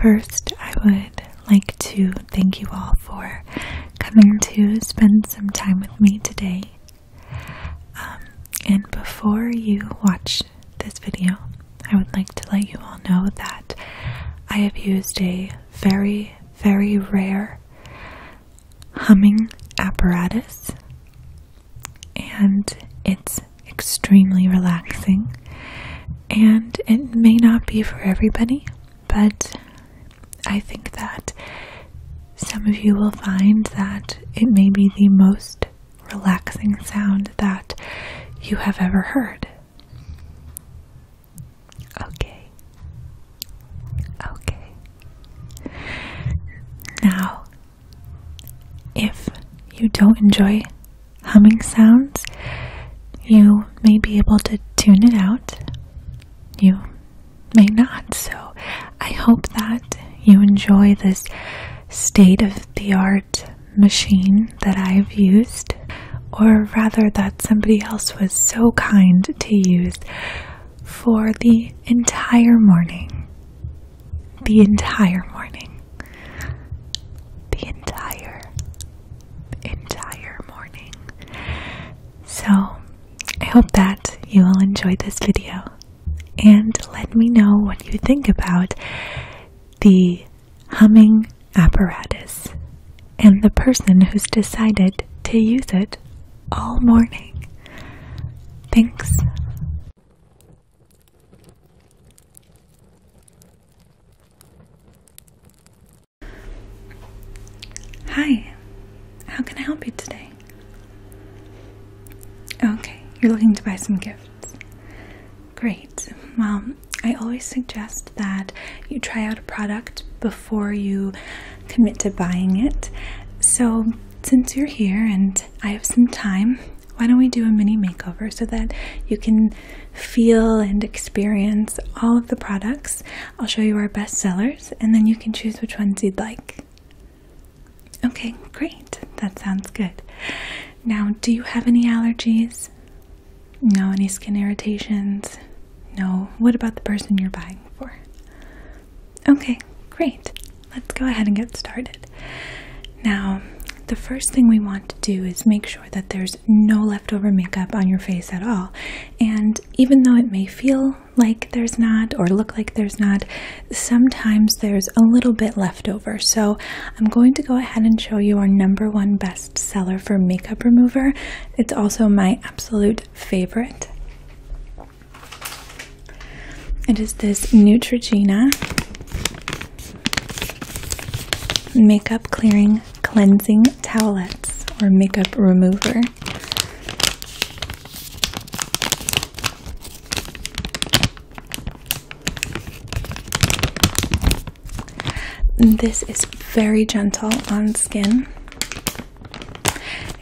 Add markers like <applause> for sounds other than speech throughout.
First, I would like to thank you all for coming to spend some time with me today. Um, and before you watch this video, I would like to let you all know that I have used a very, very rare humming apparatus, and it's extremely relaxing, and it may not be for everybody, but I think that some of you will find that it may be the most relaxing sound that you have ever heard. Okay. Okay. Now, if you don't enjoy humming sounds, you may be able to tune it out. You may not. So I hope that you enjoy this state of the art machine that I've used, or rather, that somebody else was so kind to use for the entire morning. The entire morning the entire entire morning. So, I hope that you will enjoy this video and let me know what you think about the humming apparatus and the person who's decided to use it all morning. Thanks. Hi, how can I help you today? Okay, you're looking to buy some gifts. Great. Well, I always suggest that you try out a product before you commit to buying it. So, since you're here and I have some time, why don't we do a mini makeover so that you can feel and experience all of the products? I'll show you our best sellers and then you can choose which ones you'd like. Okay, great. That sounds good. Now, do you have any allergies? No, any skin irritations? No. What about the person you're buying for? Okay, great. Let's go ahead and get started. Now, the first thing we want to do is make sure that there's no leftover makeup on your face at all. And even though it may feel like there's not or look like there's not, sometimes there's a little bit left over. So I'm going to go ahead and show you our number one best seller for makeup remover. It's also my absolute favorite. It is this Neutrogena Makeup Clearing Cleansing Towelettes or Makeup Remover. This is very gentle on skin.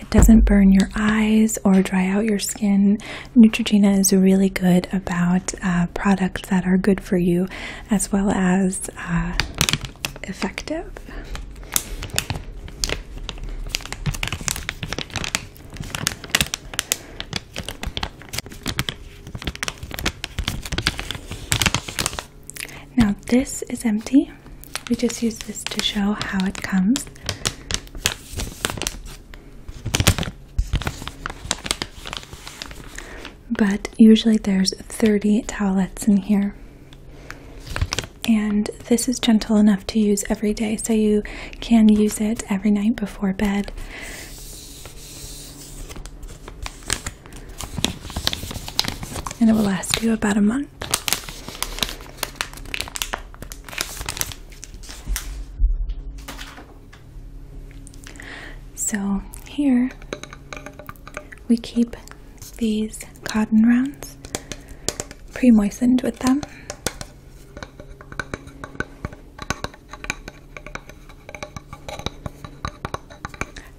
It doesn't burn your eyes or dry out your skin. Neutrogena is really good about uh, products that are good for you as well as uh, effective. Now, this is empty. We just use this to show how it comes. But usually there's 30 towelettes in here. And this is gentle enough to use every day, so you can use it every night before bed. And it will last you about a month. So here we keep these cotton rounds pre-moistened with them.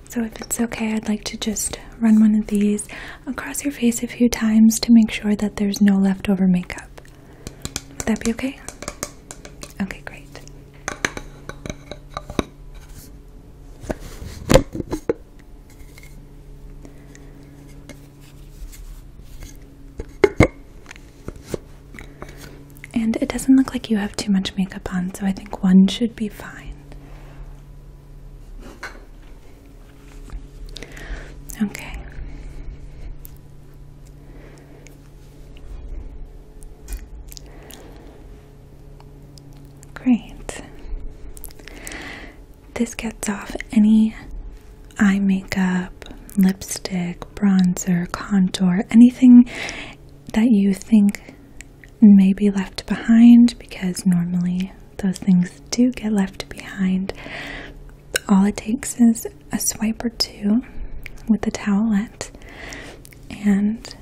So if it's okay, I'd like to just run one of these across your face a few times to make sure that there's no leftover makeup. Would that be okay? Okay, great. And it doesn't look like you have too much makeup on, so I think one should be fine. Okay. Great. This gets off any eye makeup, lipstick, bronzer, contour, anything that you think may be left behind because normally those things do get left behind. All it takes is a swipe or two with the towelette, and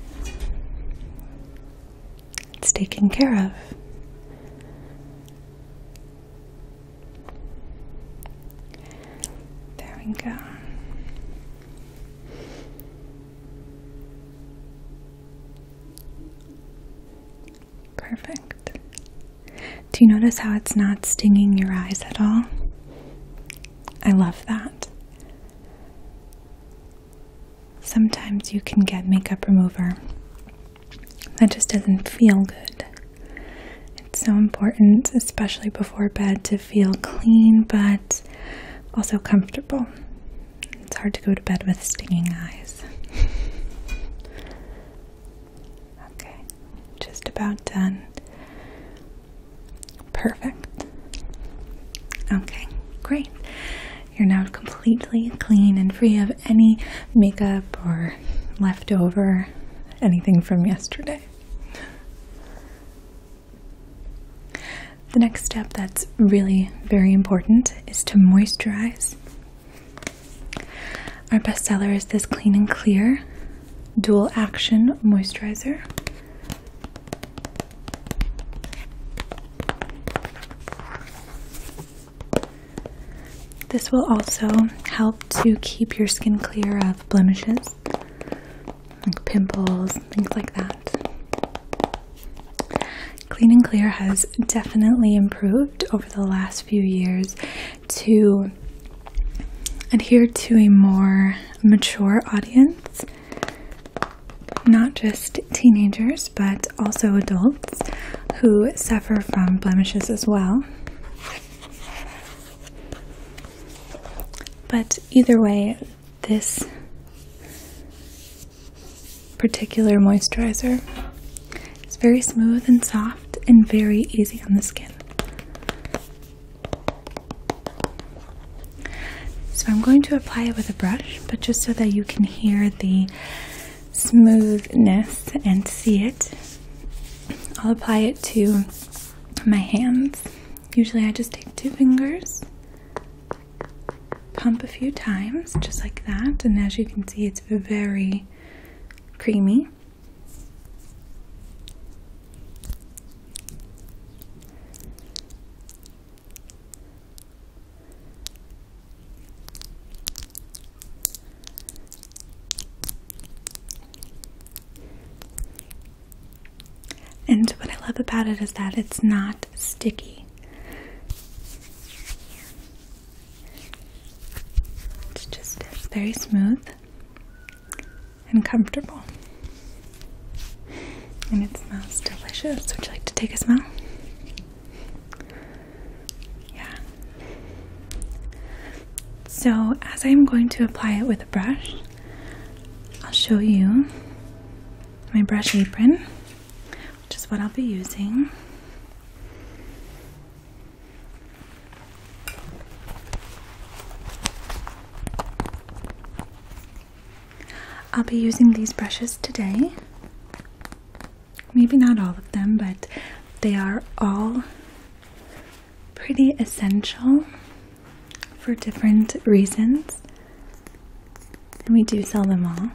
it's taken care of. There we go. Perfect. Do you notice how it's not stinging your eyes at all? I love that. Sometimes you can get makeup remover that just doesn't feel good. It's so important, especially before bed, to feel clean but also comfortable. It's hard to go to bed with stinging eyes. Okay, just about done. Perfect. Okay, great. You're now completely clean and free of any makeup or leftover anything from yesterday. The next step that's really very important is to moisturize. Our bestseller is this Clean and Clear dual action moisturizer. This will also help to keep your skin clear of blemishes, like pimples, things like that. Clean and Clear has definitely improved over the last few years to adhere to a more mature audience, not just teenagers, but also adults who suffer from blemishes as well. But either way, this particular moisturizer is very smooth and soft and very easy on the skin. So I'm going to apply it with a brush, but just so that you can hear the smoothness and see it, I'll apply it to my hands. Usually I just take two fingers, pump a few times, just like that, and as you can see, it's very creamy. And what I love about it is that it's not sticky. It's just very smooth and comfortable. And it smells delicious. Would you like to take a smell? Yeah. So, as I'm going to apply it with a brush, I'll show you my brush apron, which is what I'll be using. I'll be using these brushes today. Maybe not all of them, but they are all pretty essential for different reasons. And we do sell them all.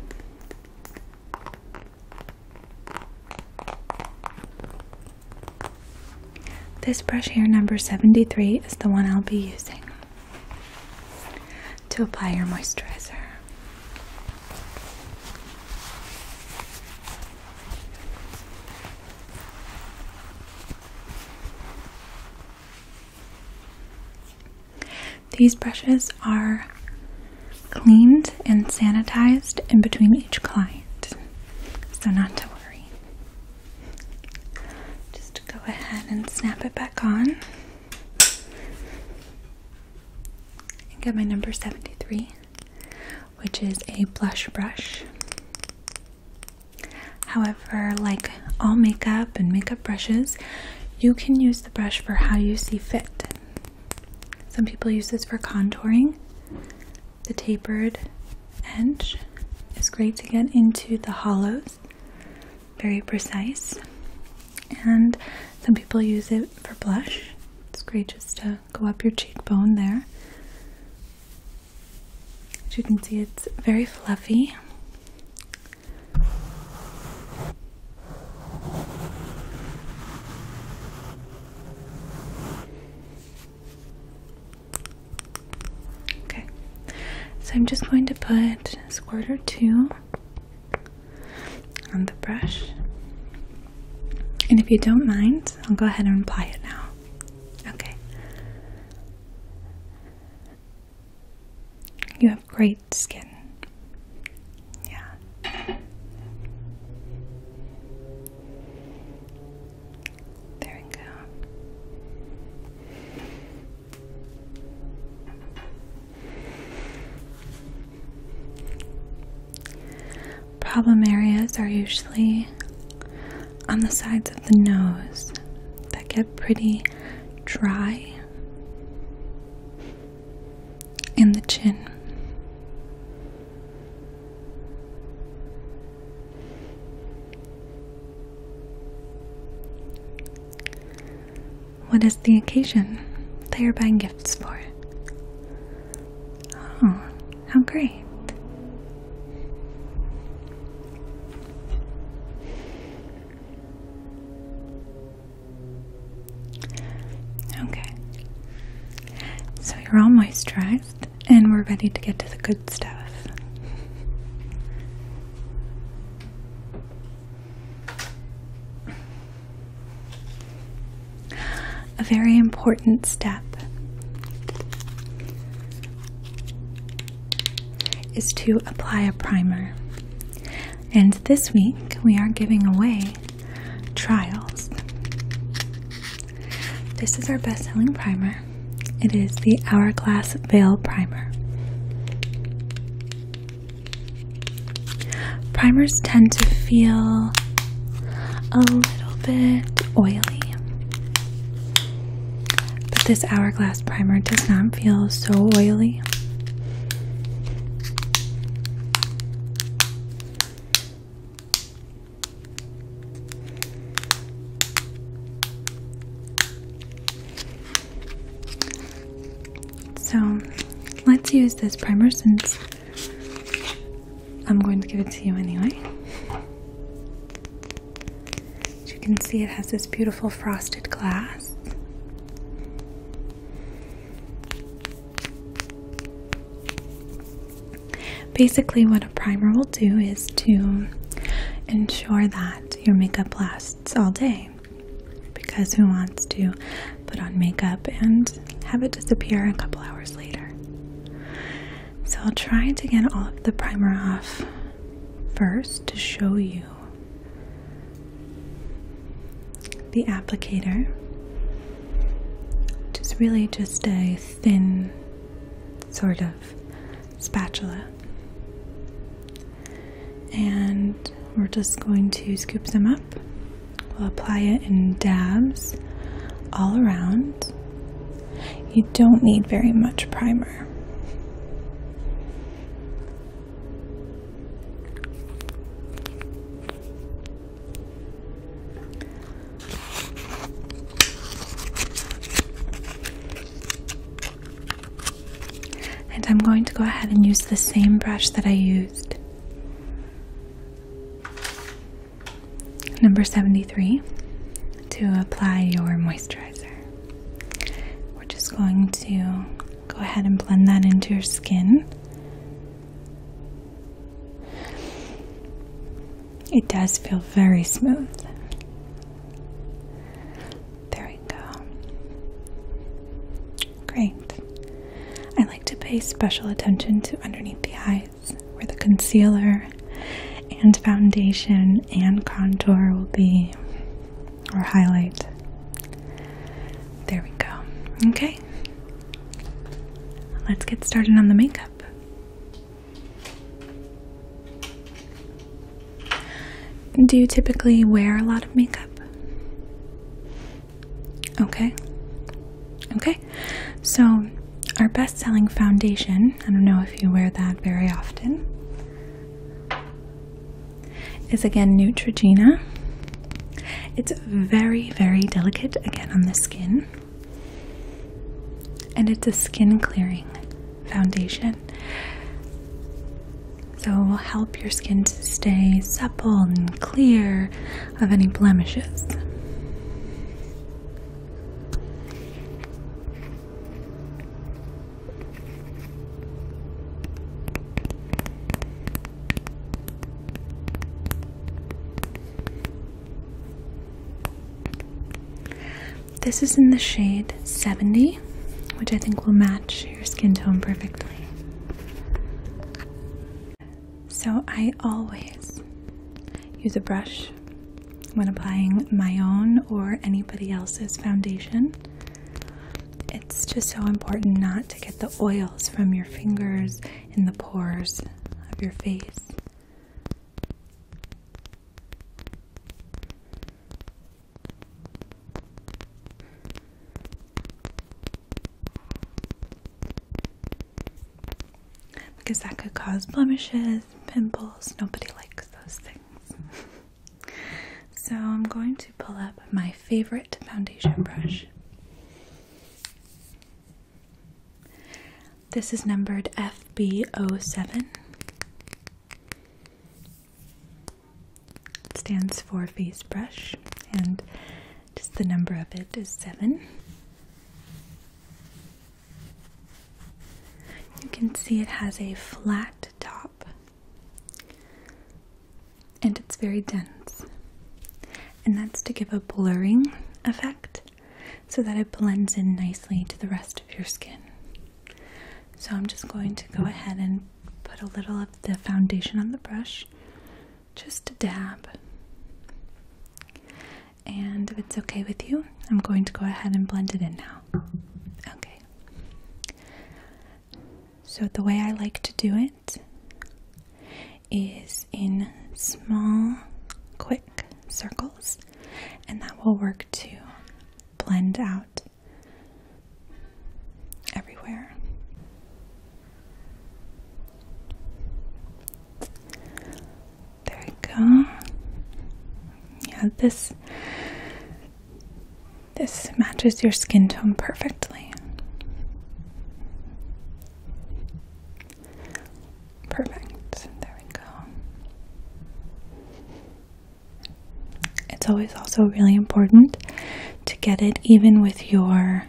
This brush here, number 73, is the one I'll be using to apply your moisturizer. These brushes are cleaned and sanitized in between each client, so not to worry. Just go ahead and snap it back on. I got my number 73, which is a blush brush. However, like all makeup and makeup brushes, you can use the brush for how you see fit. Some people use this for contouring. The tapered edge is great to get into the hollows, very precise. And some people use it for blush. It's great just to go up your cheekbone there. As you can see, it's very fluffy. Okay, so I'm just going to put a squirt or two on the brush. And if you don't mind, I'll go ahead and apply it now. Okay. You have great skin. Yeah. There we go. Problem areas are usually on the sides of the nose that get pretty dry in the chin. What is the occasion they are buying gifts for? Oh, how great. Okay. So you're almost dry and we're ready to get to the good stuff. A very important step is to apply a primer. And this week we are giving away Trials. This is our best selling primer. It is the Hourglass Veil Primer. Primers tend to feel a little bit oily, but this Hourglass Primer does not feel so oily. So let's use this primer since I'm going to give it to you anyway. As you can see, it has this beautiful frosted glass. Basically, what a primer will do is to ensure that your makeup lasts all day because who wants to put on makeup and have it disappear a couple hours later? So, I'll try to get all of the primer off first to show you the applicator. Just really just a thin sort of spatula. And we're just going to scoop them up. We'll apply it in dabs all around. You don't need very much primer. And I'm going to go ahead and use the same brush that I used. Number 73 to apply your moisturizer. We're just going to go ahead and blend that into your skin. It does feel very smooth. There we go. Great. I like to pay special attention to underneath the eyes where the concealer and foundation and contour will be or highlight. There we go. Okay. Let's get started on the makeup. Do you typically wear a lot of makeup? Okay. Okay. So, our best selling foundation, I don't know if you wear that very often, is again Neutrogena. It's very, very delicate again on the skin. And it's a skin clearing foundation. So it will help your skin to stay supple and clear of any blemishes. This is in the shade 70, which I think will match your skin tone perfectly. So I always use a brush when applying my own or anybody else's foundation. It's just so important not to get the oils from your fingers in the pores of your face. Because that could cause blemishes, pimples, nobody likes those things. <laughs> so, I'm going to pull up my favorite foundation brush. This is numbered FBO 7 It stands for face brush, and just the number of it is 7. You can see it has a flat top and it's very dense and that's to give a blurring effect so that it blends in nicely to the rest of your skin. So I'm just going to go ahead and put a little of the foundation on the brush, just a dab. And if it's okay with you, I'm going to go ahead and blend it in now. Okay. So, the way I like to do it is in small, quick circles, and that will work to blend out everywhere. There we go. Yeah, this this matches your skin tone perfectly. Perfect. There we go. It's always also really important to get it even with your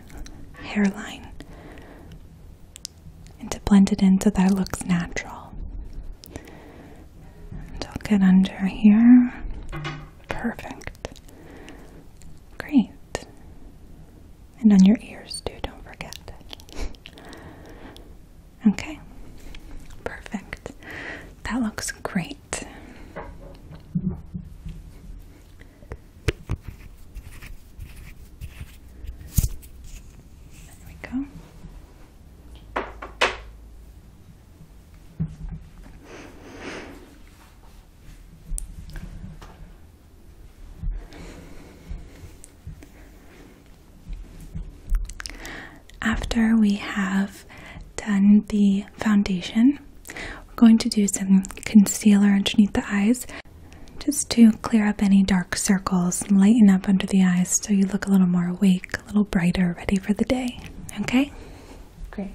hairline and to blend it in so that it looks natural. And I'll get under here. Perfect. Great. And on your ears, too, don't forget. <laughs> okay, perfect. That looks great. There we go. After we have done the foundation, we're going to do some concealer underneath the eyes just to clear up any dark circles lighten up under the eyes so you look a little more awake, a little brighter, ready for the day. Okay? Great.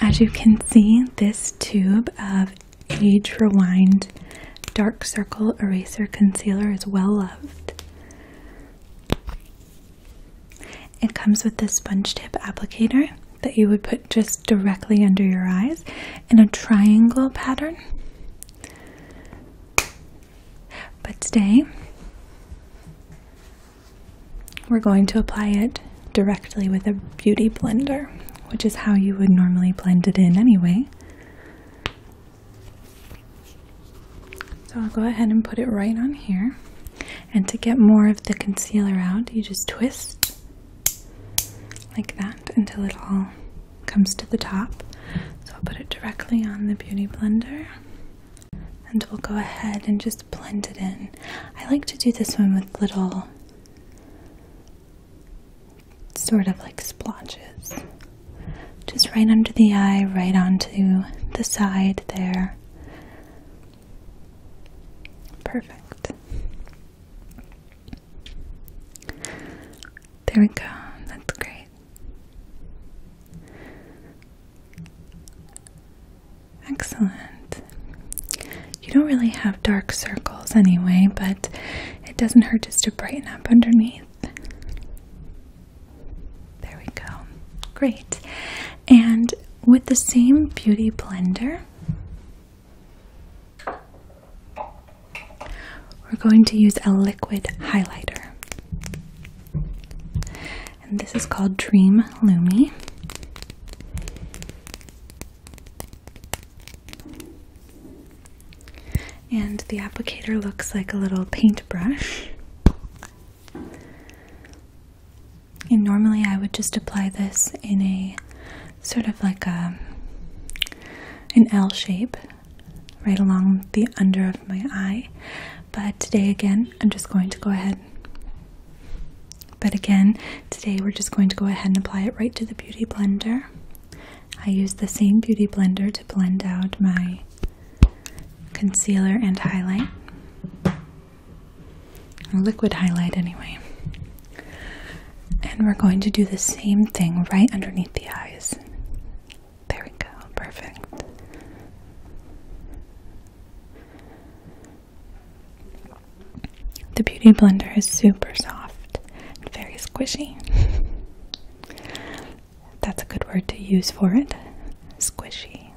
As you can see, this tube of Age Rewind Dark Circle Eraser Concealer is well loved. It comes with this sponge tip applicator that you would put just directly under your eyes in a triangle pattern. But today, we're going to apply it directly with a beauty blender, which is how you would normally blend it in anyway. So I'll go ahead and put it right on here. And to get more of the concealer out, you just twist like that until it all comes to the top. So I'll put it directly on the beauty blender and we'll go ahead and just blend it in. I like to do this one with little sort of like splotches. Just right under the eye, right onto the side there. Perfect. There we go. That's great. Excellent. You don't really have dark circles anyway, but it doesn't hurt just to brighten up underneath. There we go. Great. And with the same beauty blender, we're going to use a liquid highlighter. And this is called Dream Lumi. And the applicator looks like a little paintbrush. And normally I would just apply this in a sort of like a an L shape right along the under of my eye. But today again, I'm just going to go ahead but again, today we're just going to go ahead and apply it right to the Beauty Blender. I use the same Beauty Blender to blend out my concealer and highlight. liquid highlight anyway. And we're going to do the same thing right underneath the eyes. There we go, perfect. The Beauty Blender is super soft and very squishy. That's a good word to use for it. Squishy.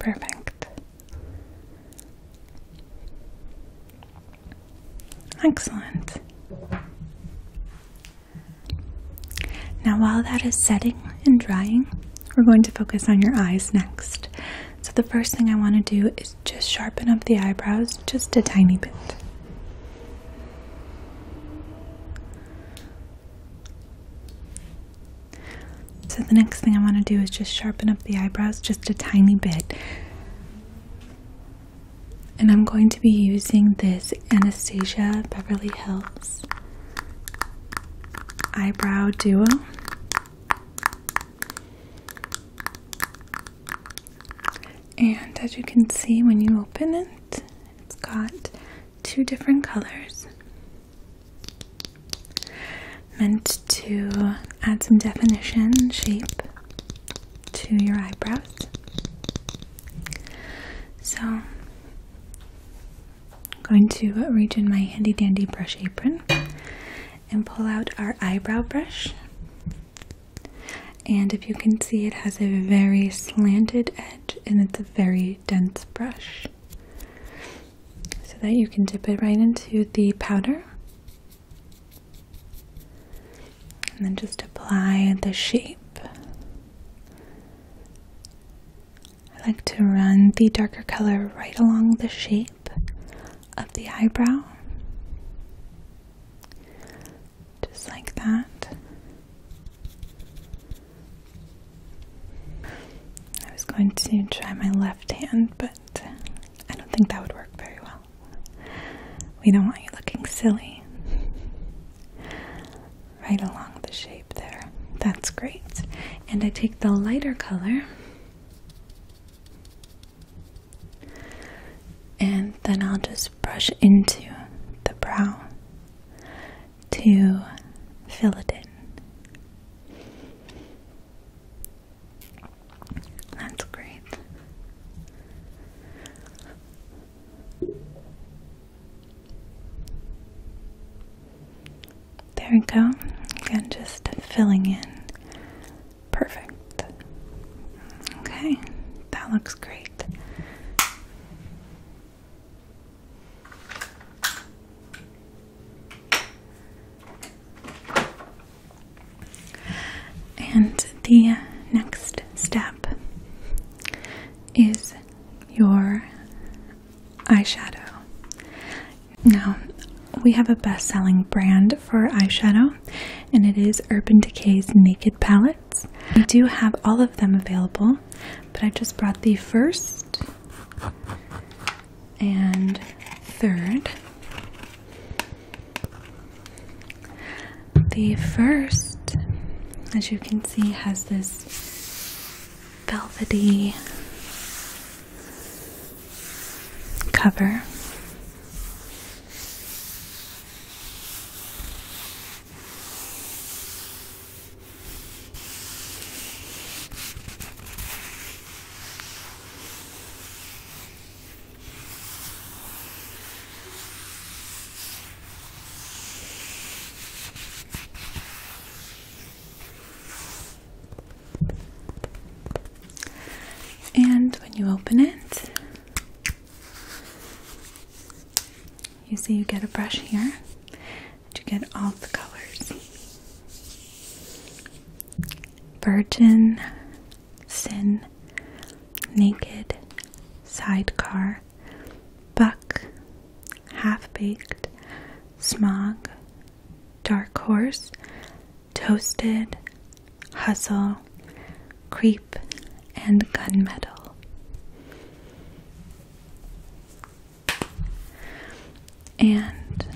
Perfect. Excellent. Now, while that is setting and drying, we're going to focus on your eyes next. So, the first thing I want to do is just sharpen up the eyebrows just a tiny bit. So the next thing I want to do is just sharpen up the eyebrows just a tiny bit. And I'm going to be using this Anastasia Beverly Hills eyebrow duo. And as you can see when you open it, it's got two different colors meant to add some definition shape to your eyebrows. So, I'm going to reach in my handy dandy brush apron and pull out our eyebrow brush. And if you can see, it has a very slanted edge and it's a very dense brush so that you can dip it right into the powder and then just apply the shape. I like to run the darker color right along the shape of the eyebrow, just like that. I was going to try my left hand, but I don't think that would work very well. We don't want you looking silly. Right along the shape there. That's great. And I take the lighter color. And then I'll just brush into the brow to fill it in. That's great. There we go. Again, just filling in. Perfect. Okay, that looks great. And the next step is your eyeshadow. Now, we have a best selling brand for eyeshadow, and it is Urban Decay's Naked Palettes. We do have all of them available, but I just brought the first and third. The first, as you can see, has this velvety cover. And when you open it, you see you get a brush here to get all the colors. Virgin, Sin, Naked, Sidecar, Buck, Half Baked, Smog, Dark Horse, Toasted, Hustle, Creep, and Gunmetal. And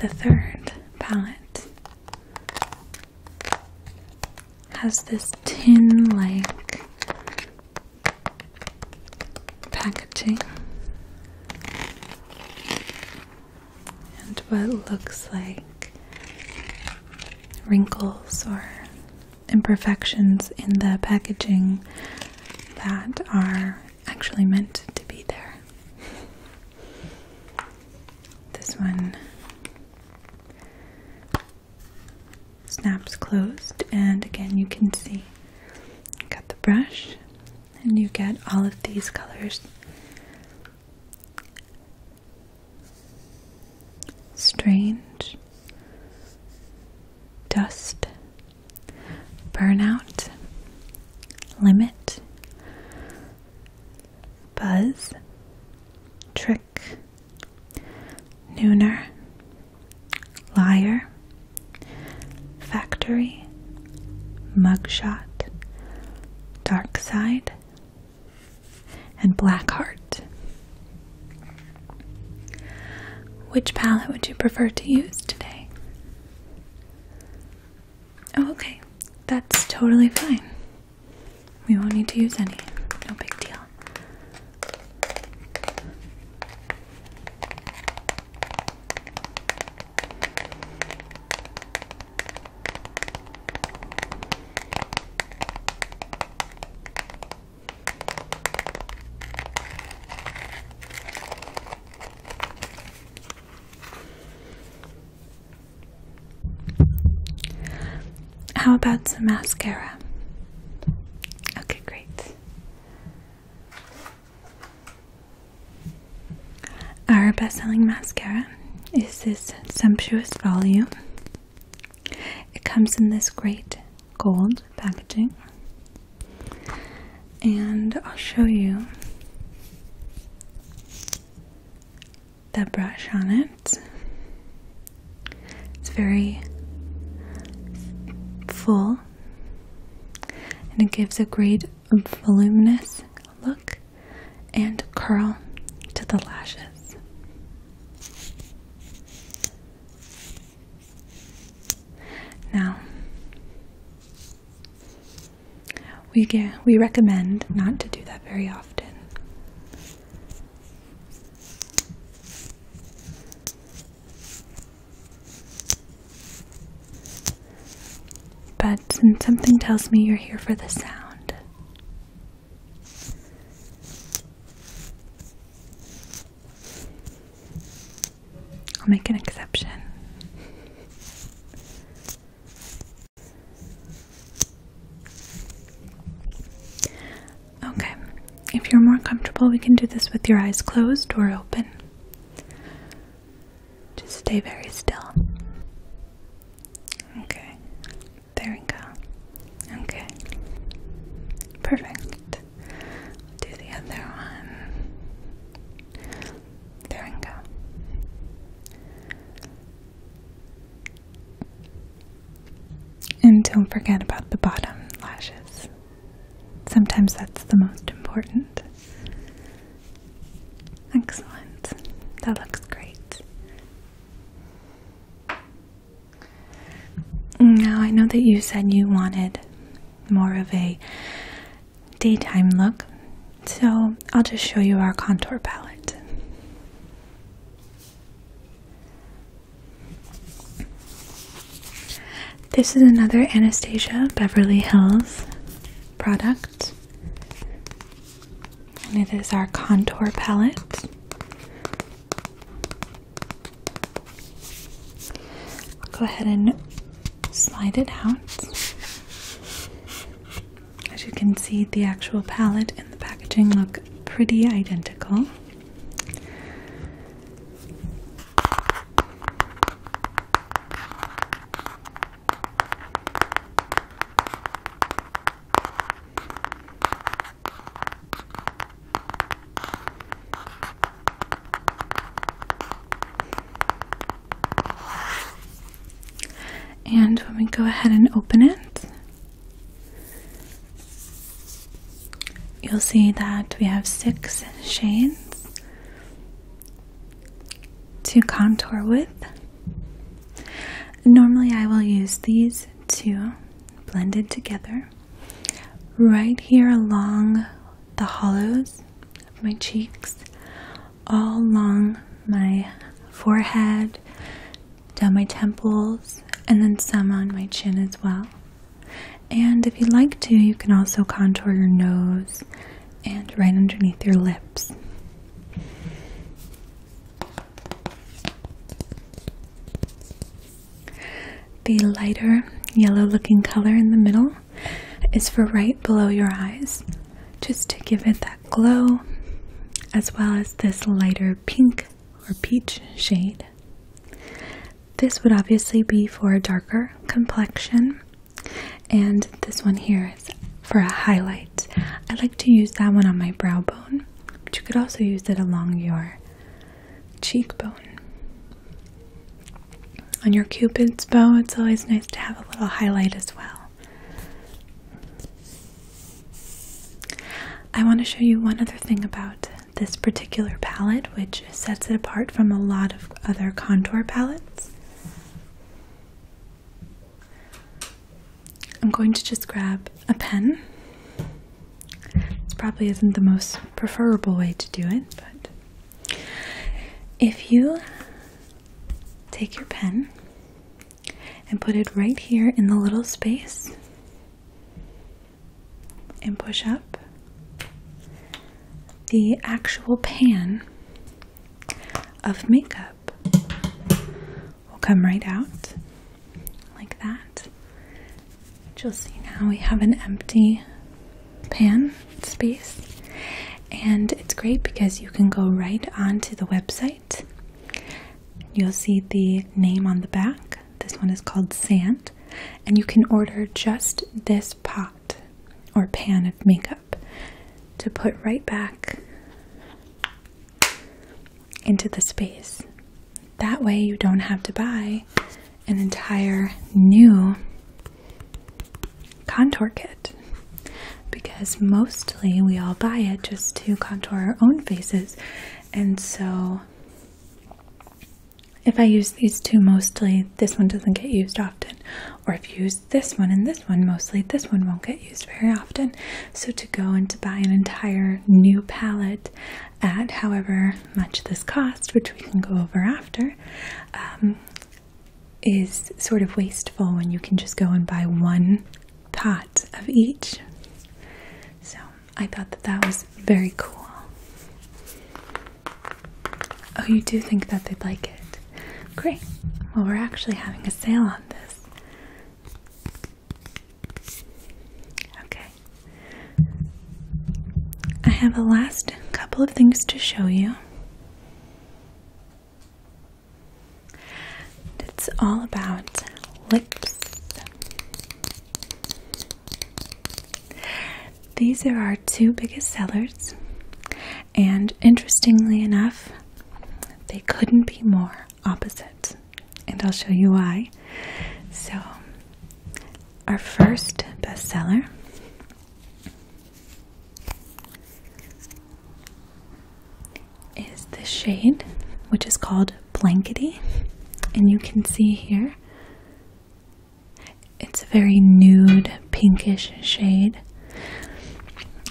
the third palette has this tin like packaging and what looks like wrinkles or imperfections in the packaging that are actually meant to be there. This one snaps closed, and again, you can see got the brush, and you get all of these colors strange dust burnout, limit, buzz, trick, nooner, liar, factory, mugshot, dark side, and black heart. Which palette would you prefer to use today? Oh, okay. That's totally fine. We won't need to use any. No big deal. How about some mascara? Okay, great. Our best selling mascara is this sumptuous volume. It comes in this great gold packaging. And I'll show you the brush on it. It's very full and it gives a great voluminous look and curl to the lashes. Now, we we recommend not to do that very often. But since something tells me you're here for the sound, I'll make an exception. Okay, if you're more comfortable, we can do this with your eyes closed or open. Just stay very still. Okay, there we go. Okay, perfect do the other one. There we go. And don't forget about the bottom lashes. Sometimes that's the most important. Excellent. That looks great. Now, I know that you said you wanted more of a daytime look. So I'll just show you our contour palette. This is another Anastasia Beverly Hills product. And it is our contour palette. I'll go ahead and slide it out. As you can see, the actual palette and the packaging look pretty identical. And when we go ahead and open it, you'll see that we have six shades to contour with. Normally, I will use these two blended together right here along the hollows of my cheeks, all along my forehead, down my temples, and then some on my chin as well. And if you'd like to, you can also contour your nose and right underneath your lips. The lighter yellow looking color in the middle is for right below your eyes, just to give it that glow, as well as this lighter pink or peach shade. This would obviously be for a darker complexion, and this one here is for a highlight. I like to use that one on my brow bone, but you could also use it along your cheekbone. On your cupid's bow, it's always nice to have a little highlight as well. I want to show you one other thing about this particular palette, which sets it apart from a lot of other contour palettes. I'm going to just grab a pen this probably isn't the most preferable way to do it, but if you take your pen and put it right here in the little space and push up, the actual pan of makeup will come right out like that you'll see now we have an empty pan space. And it's great because you can go right onto the website. You'll see the name on the back. This one is called Sand. And you can order just this pot or pan of makeup to put right back into the space. That way, you don't have to buy an entire new contour kit because mostly we all buy it just to contour our own faces. And so, if I use these two mostly, this one doesn't get used often. Or if you use this one and this one mostly, this one won't get used very often. So, to go and to buy an entire new palette at however much this cost, which we can go over after, um, is sort of wasteful when you can just go and buy one pot of each. So I thought that that was very cool. Oh, you do think that they'd like it? Great. Well, we're actually having a sale on this. Okay. I have a last couple of things to show you. It's all about lips. These are our two biggest sellers, and interestingly enough, they couldn't be more opposite, and I'll show you why. So, our first bestseller. Is this shade, which is called Blankety, and you can see here it's a very nude pinkish shade.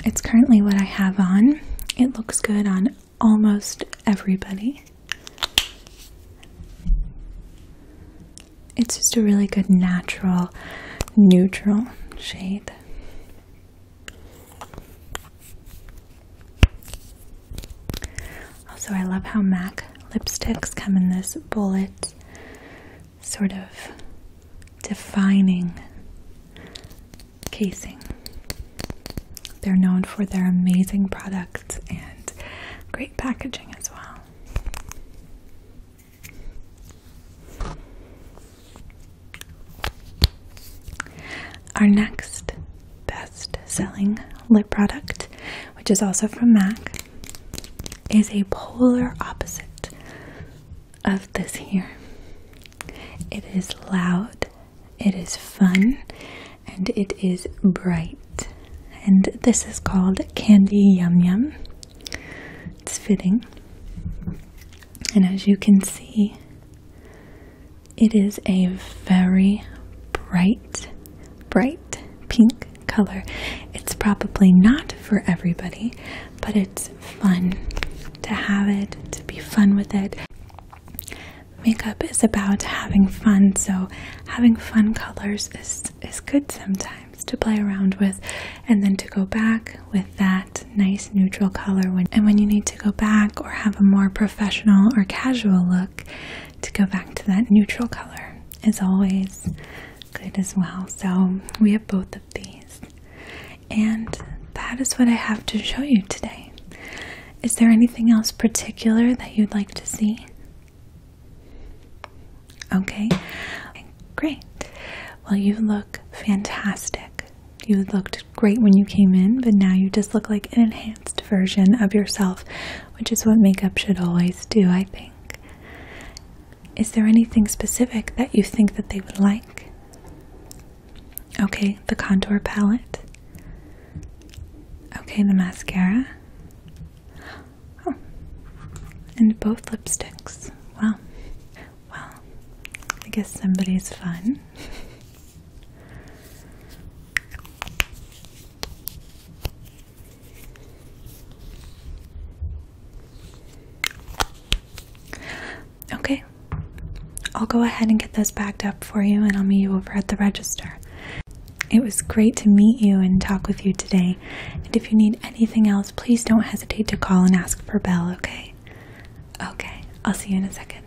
It's currently what I have on, it looks good on almost everybody. It's just a really good natural, neutral shade. Also, I love how MAC lipsticks come in this bullet sort of defining casing. They're known for their amazing products and great packaging as well. Our next best selling lip product, which is also from MAC, is a polar opposite of this here. It is loud, it is fun, and it is bright. And this is called Candy Yum Yum. It's fitting. And as you can see, it is a very bright, bright pink color. It's probably not for everybody, but it's fun to have it, to be fun with it makeup is about having fun, so having fun colors is is good sometimes to play around with and then to go back with that nice neutral color when and when you need to go back or have a more professional or casual look to go back to that neutral color is always good as well. So we have both of these. And that is what I have to show you today. Is there anything else particular that you'd like to see? Okay, great. Well, you look fantastic. You looked great when you came in, but now you just look like an enhanced version of yourself, which is what makeup should always do, I think. Is there anything specific that you think that they would like? Okay, the contour palette. Okay, the mascara. Oh. And both lipsticks. Wow. Well, I guess somebody's fun. okay. I'll go ahead and get those backed up for you and I'll meet you over at the register. It was great to meet you and talk with you today. And if you need anything else, please don't hesitate to call and ask for Belle, okay? Okay, I'll see you in a second.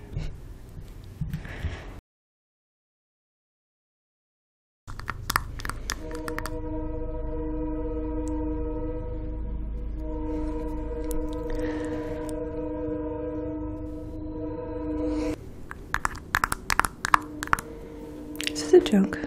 This is a joke.